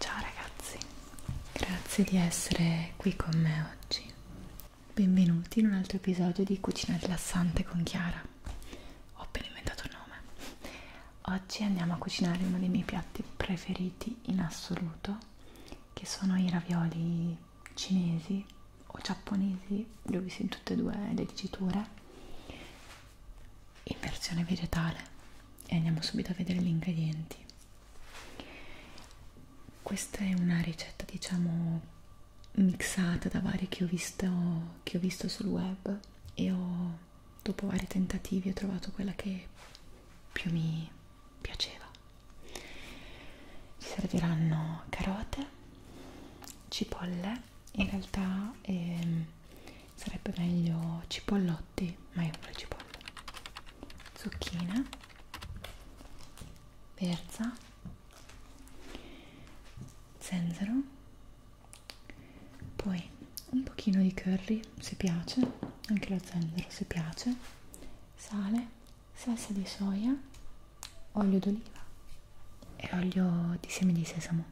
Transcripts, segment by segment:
Ciao ragazzi, grazie di essere qui con me oggi. Benvenuti in un altro episodio di Cucina rilassante con Chiara. Ho appena inventato il nome. Oggi andiamo a cucinare uno dei miei piatti preferiti in assoluto che sono i ravioli cinesi o giapponesi, li ho visti in tutte e due le diciture in versione vegetale e andiamo subito a vedere gli ingredienti questa è una ricetta diciamo mixata da varie che ho visto, che ho visto sul web e ho, dopo vari tentativi ho trovato quella che più mi piaceva ci serviranno carote, cipolle, in realtà ehm, sarebbe meglio cipollotti, ma io pure cipolle, zucchine, verza, zenzero, poi un pochino di curry se piace, anche lo zenzero se piace sale, salsa di soia, olio d'oliva e olio di semi di sesamo.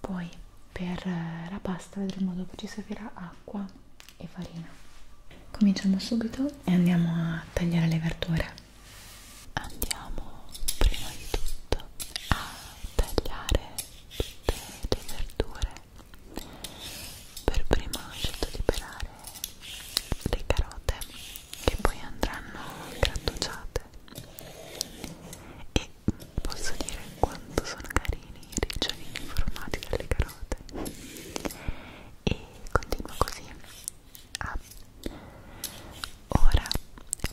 Poi per eh, la pasta vedremo dopo ci servirà acqua e farina. Cominciamo subito e andiamo a tagliare le verdure. Andiamo prima di tutto a tagliare tutte le verdure per prima scelto di pelare le carote che poi andranno grattugiate e posso dire quanto sono carini i ricciolini formati dalle carote e continuo così ah. ora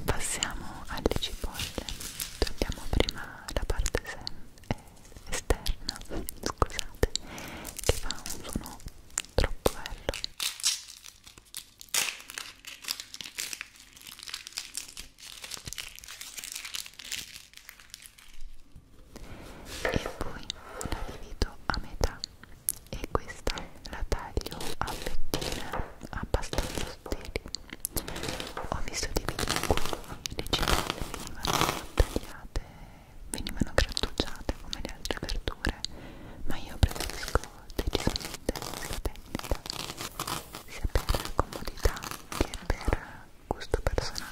passiamo alle cipolle togliamo prima la parte eh, esterna, scusate, che fa un suono troppo bello. E poi la divido a metà e questa la taglio a fettine abbastanza sottili. Ho visto dei video in cui le cipelle venivano tagliate venivano grattugiate come le altre verdure ma io preferisco decisamente la tecnica sia per comodità che per gusto personale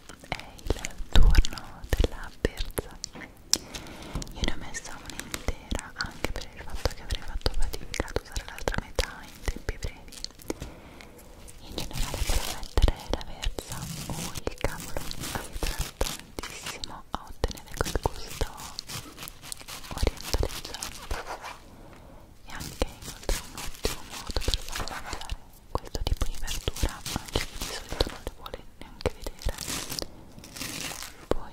è il turno della perza io ne ho messa un'intera anche per il fatto che avrei fatto fatica ad usare l'altra metà in tempi brevi in generale per mettere la verza o oh, il cavolo aiuta tantissimo a ottenere quel gusto orientaleggiante e anche inoltre un ottimo modo per farla mangiare questo tipo di verdura anche di solito non le vuole neanche vedere poi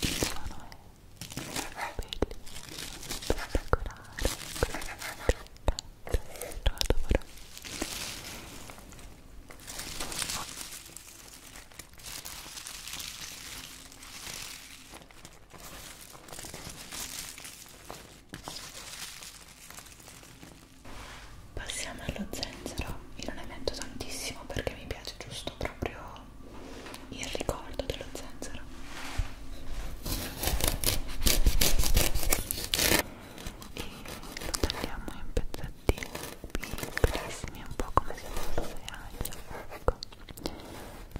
il suono è spettacolare lo adoro Passiamo allo zenzero, io non ne metto tantissimo perché mi piace giusto proprio il ricordo dello zenzero. E lo tagliamo in pezzettini piccolissimi, un po' come se fosse aglio. Ecco.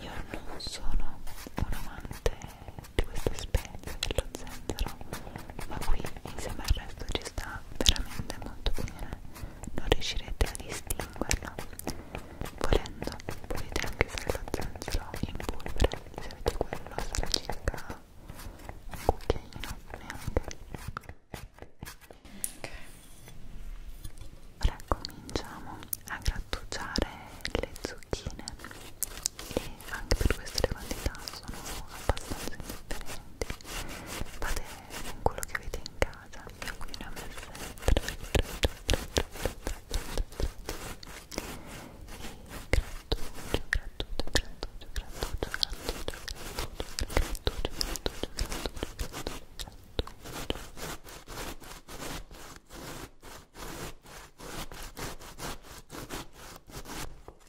Io non sono un amante di questa specie essenza dello zenzero ma qui insieme al resto ci sta veramente molto bene non riuscirete a distinguerlo volendo potete anche fare lo zenzero in polvere se avete quello sarà circa un cucchiaino neanche ok ora cominciamo a grattugiare le zucchine e anche per questo le quantità sono abbastanza indifferenti fate con quello che avete in casa io qui ne ho messe 3 3 3 3 3 3 e grattuccio, grattuccio, grattuccio, grattuccio, grattuccio, grattuccio, grattuccio, grattuccio, grattuccio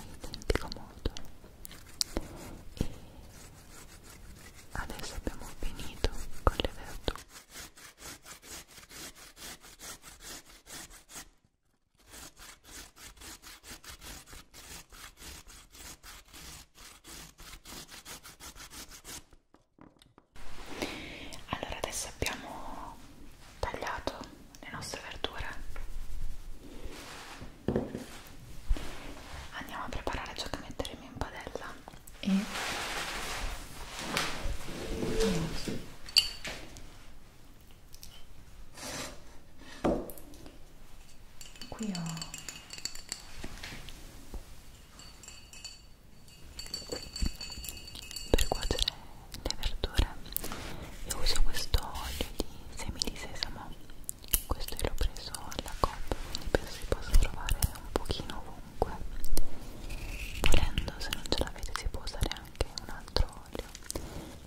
identico modo e adesso abbiamo finito con le verdure allora adesso abbiamo tagliato le nostre verdure andiamo a preparare ciò che metteremo in padella e qui ho per cuocere le verdure io uso questo olio di semi di sesamo questo l'ho preso alla coop quindi penso si possa trovare un pochino ovunque volendo se non ce l'avete si può usare anche un altro olio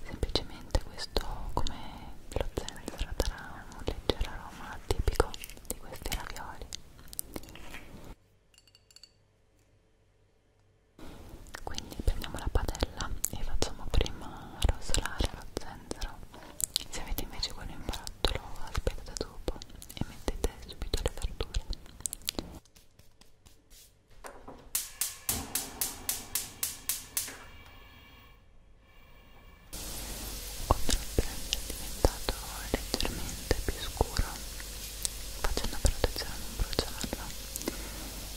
semplicemente questo come lo zenzero darà un leggero aroma tipico di questi ravioli quindi prendiamo la padella e facciamo prima rosolare lo zenzero se avete invece quello in barattolo aspettate dopo e mettete subito le verdure oltre al brand diventato leggermente più scuro facendo però attenzione a non bruciarlo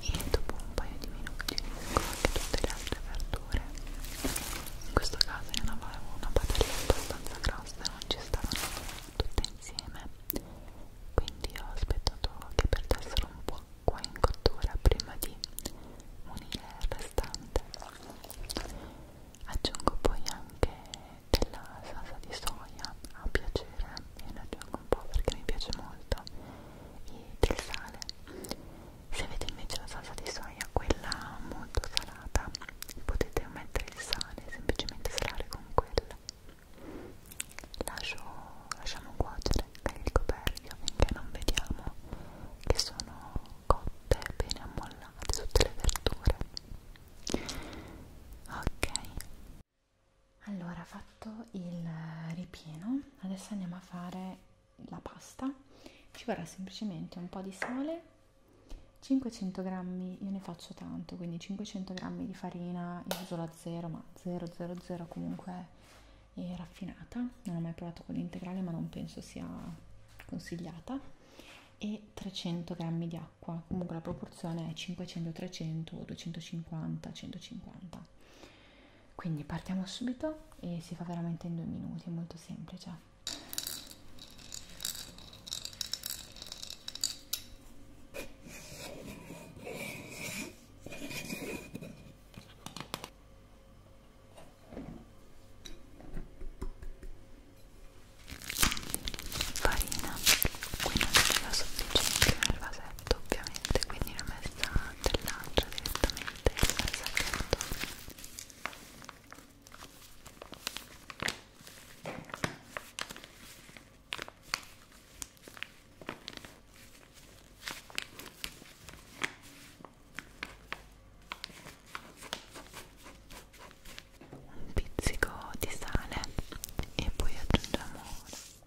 e dopo un paio di minuti unisco anche tutte le altre verdure in questo caso io ne avevo una padella abbastanza grossa e non ci stavano tutte insieme quindi ho aspettato che perdessero un po' qua in cottura prima di unire il restante aggiungo poi anche della salsa di soia a piacere e ne aggiungo un po' perché mi piace molto i, del sale se avete invece la salsa di soia quella molto salata potete mettere il sale semplicemente salare con quella Lascio, lasciamo cuocere il coperchio finché non vediamo che sono cotte bene ammollate tutte le verdure ok allora, fatto il eh, ripieno, adesso andiamo a fare la pasta. Ci vorrà semplicemente un po' di sale, 500 grammi, io ne faccio tanto, quindi 500 grammi di farina, io uso la 0, ma 000 comunque è raffinata. Non ho mai provato quella integrale, ma non penso sia consigliata. E 300 grammi di acqua, comunque la proporzione è 500-300 o 250-150 quindi partiamo subito e si fa veramente in due minuti, è molto semplice. Farina, qui non c'è la sufficiente nel vasetto sacchetto ovviamente quindi l'ho messa dell'altra direttamente al sacchetto un pizzico di sale e poi aggiungiamo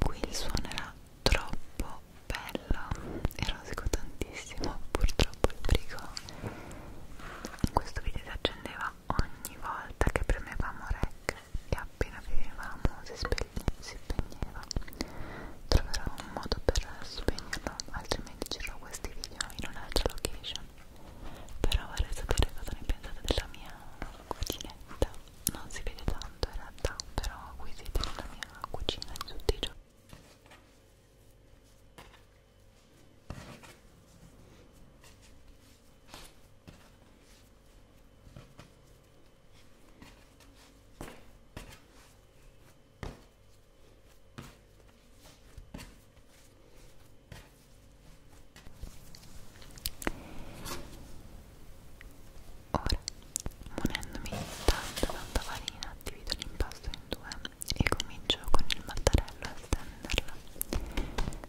Qui il suono era troppo bello, erosico tantissimo, purtroppo il brico in questo video si accendeva ogni volta che premevamo rec e appena finivamo si, si spegneva. Troverò un modo per spegnerlo, altrimenti girerò questi video in un'altra location però vorrei sapere cosa ne pensate della mia cucinetta non si vede tanto in realtà però qui siete nella mia cucina di tutti i giorni Ecco Ora, munendomi tanto tanta farina, divido l'impasto in due e comincio con il mattarello a stenderla.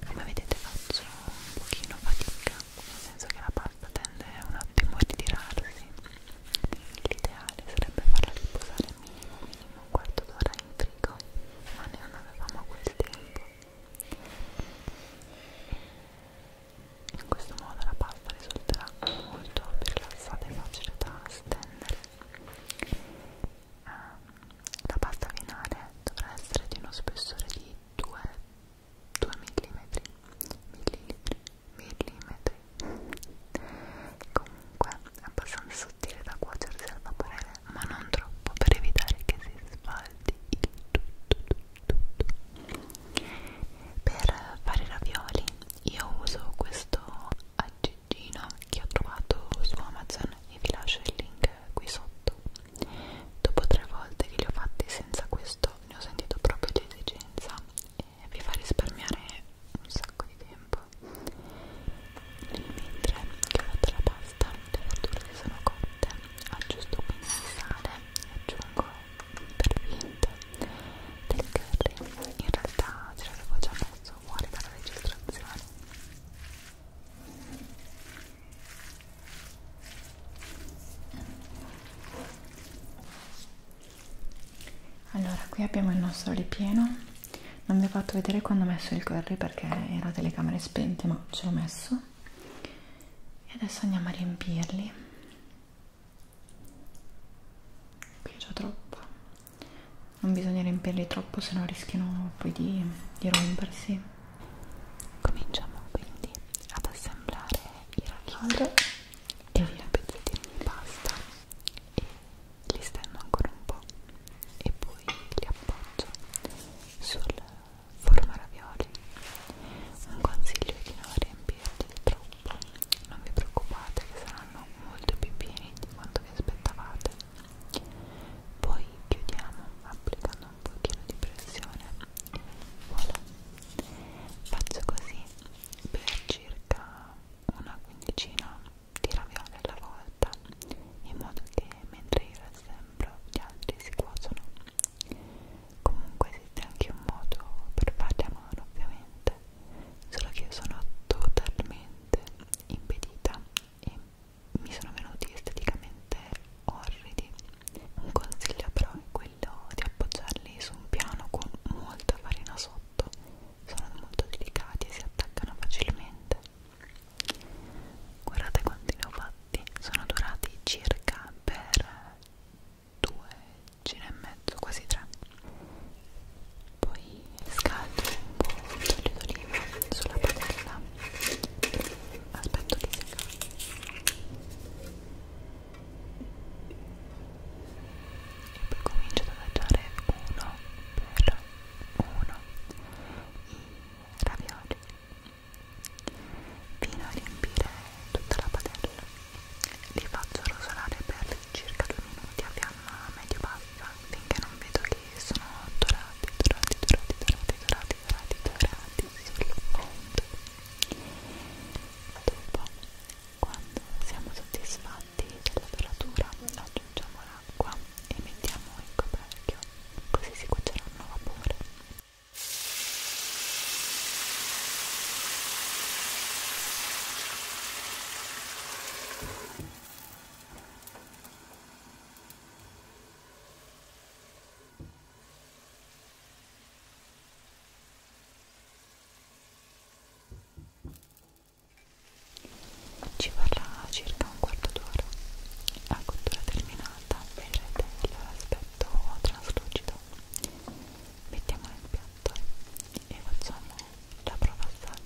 Come vedete faccio un pochino fatica, nel senso che la pasta tende un attimo a ritirarsi. L'ideale sarebbe farla riposare minimo minimo un quarto d'ora in frigo ma noi non avevamo quel tempo in questo modo la pasta risulterà molto più rilassata e facile da stendere ehm, la pasta finale dovrà essere di uno spessore di 2, 2 mm millilitri millimetri comunque è abbastanza sottile da cuocersi al vapore ma non troppo per evitare che si sfaldi il tutto, tutto, tutto. Per fare i ravioli io uso questo aggeggino che ho trovato su Amazon e vi lascio il link qui sotto. Dopo tre volte che li ho fatti senza questo ne ho sentito proprio l'esigenza e vi fa risparmiare un sacco di tempo roba nel mentre che ho fatto la pasta le verdure si sono cotte aggiusto un po' di sale e aggiungo per finta del curry in realtà ce l'avevo già messo fuori dalla registrazione allora qui abbiamo il nostro ripieno non vi ho fatto vedere quando ho messo il curry perché era telecamere spente ma ce l'ho messo e adesso andiamo a riempirli qui c'è troppo non bisogna riempirli troppo se no rischiano poi di, di rompersi cominciamo quindi ad assemblare i racchiori e i pezzettini di pasta e li stendo ancora un po' e poi li appoggio sul forma ravioli un consiglio è di non riempirli troppo non vi preoccupate che saranno molto più pieni di quanto vi aspettavate poi chiudiamo applicando un pochino di pressione voilà faccio così per circa una quindicina di ravioli alla volta in modo che mentre io le sembro gli altri si cuociono comunque esiste anche un modo per farli a mano ovviamente solo che io sono totalmente impedita e mi sono venuti esteticamente orridi un consiglio però è quello di appoggiarli su un piano con molta farina sotto sono molto delicati e si attaccano facilmente guardate quanti ne ho fatti sono durati circa per due giri e mezzo quasi tre poi scaldo un po' di d'oliva sulla padella aspetto di seccare e poi comincio ad adagiare uno per uno ravioli fino a riempire tutta la padella li faccio rosolare per circa 2 minuti a fiamma medio-bassa finché non vedo che sono dorati, dorati, dorati, dorati, dorati, dorati, dorati, dorati sul fondo dopo quando siamo soddisfatti della doratura aggiungiamo acqua e mettiamo il coperchio così si cuoceranno a vapore ci vorrà circa un quarto d'ora la cottura terminata vedrete l'aspetto traslucido mettiamo nel piatto e facciamo la prova assaggio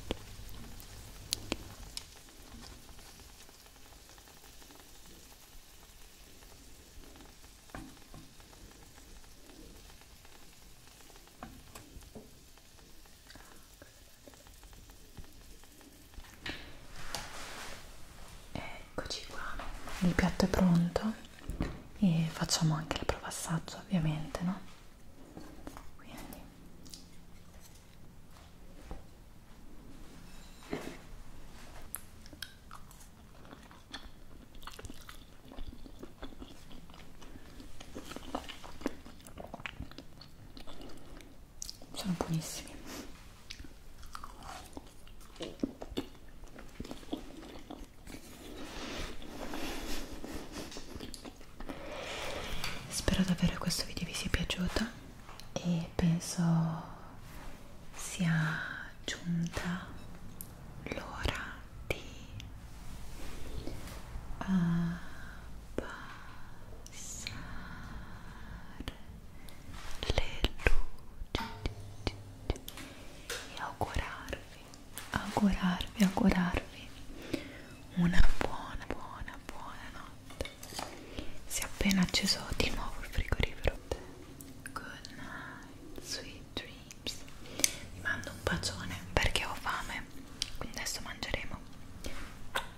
Eccoci qua, il piatto è pronto e facciamo anche la prova assaggio ovviamente, no? Quindi sono buonissimi spero davvero che questo video vi sia piaciuto e penso sia giunta l'ora di uh, abbassare le luci e augurarvi, augurarvi, augurarvi una buona, buona, buona notte. Si è appena acceso di nuovo il frigorifero. Good night, sweet dreams. Vi mando un bacione perché ho fame, quindi adesso mangeremo.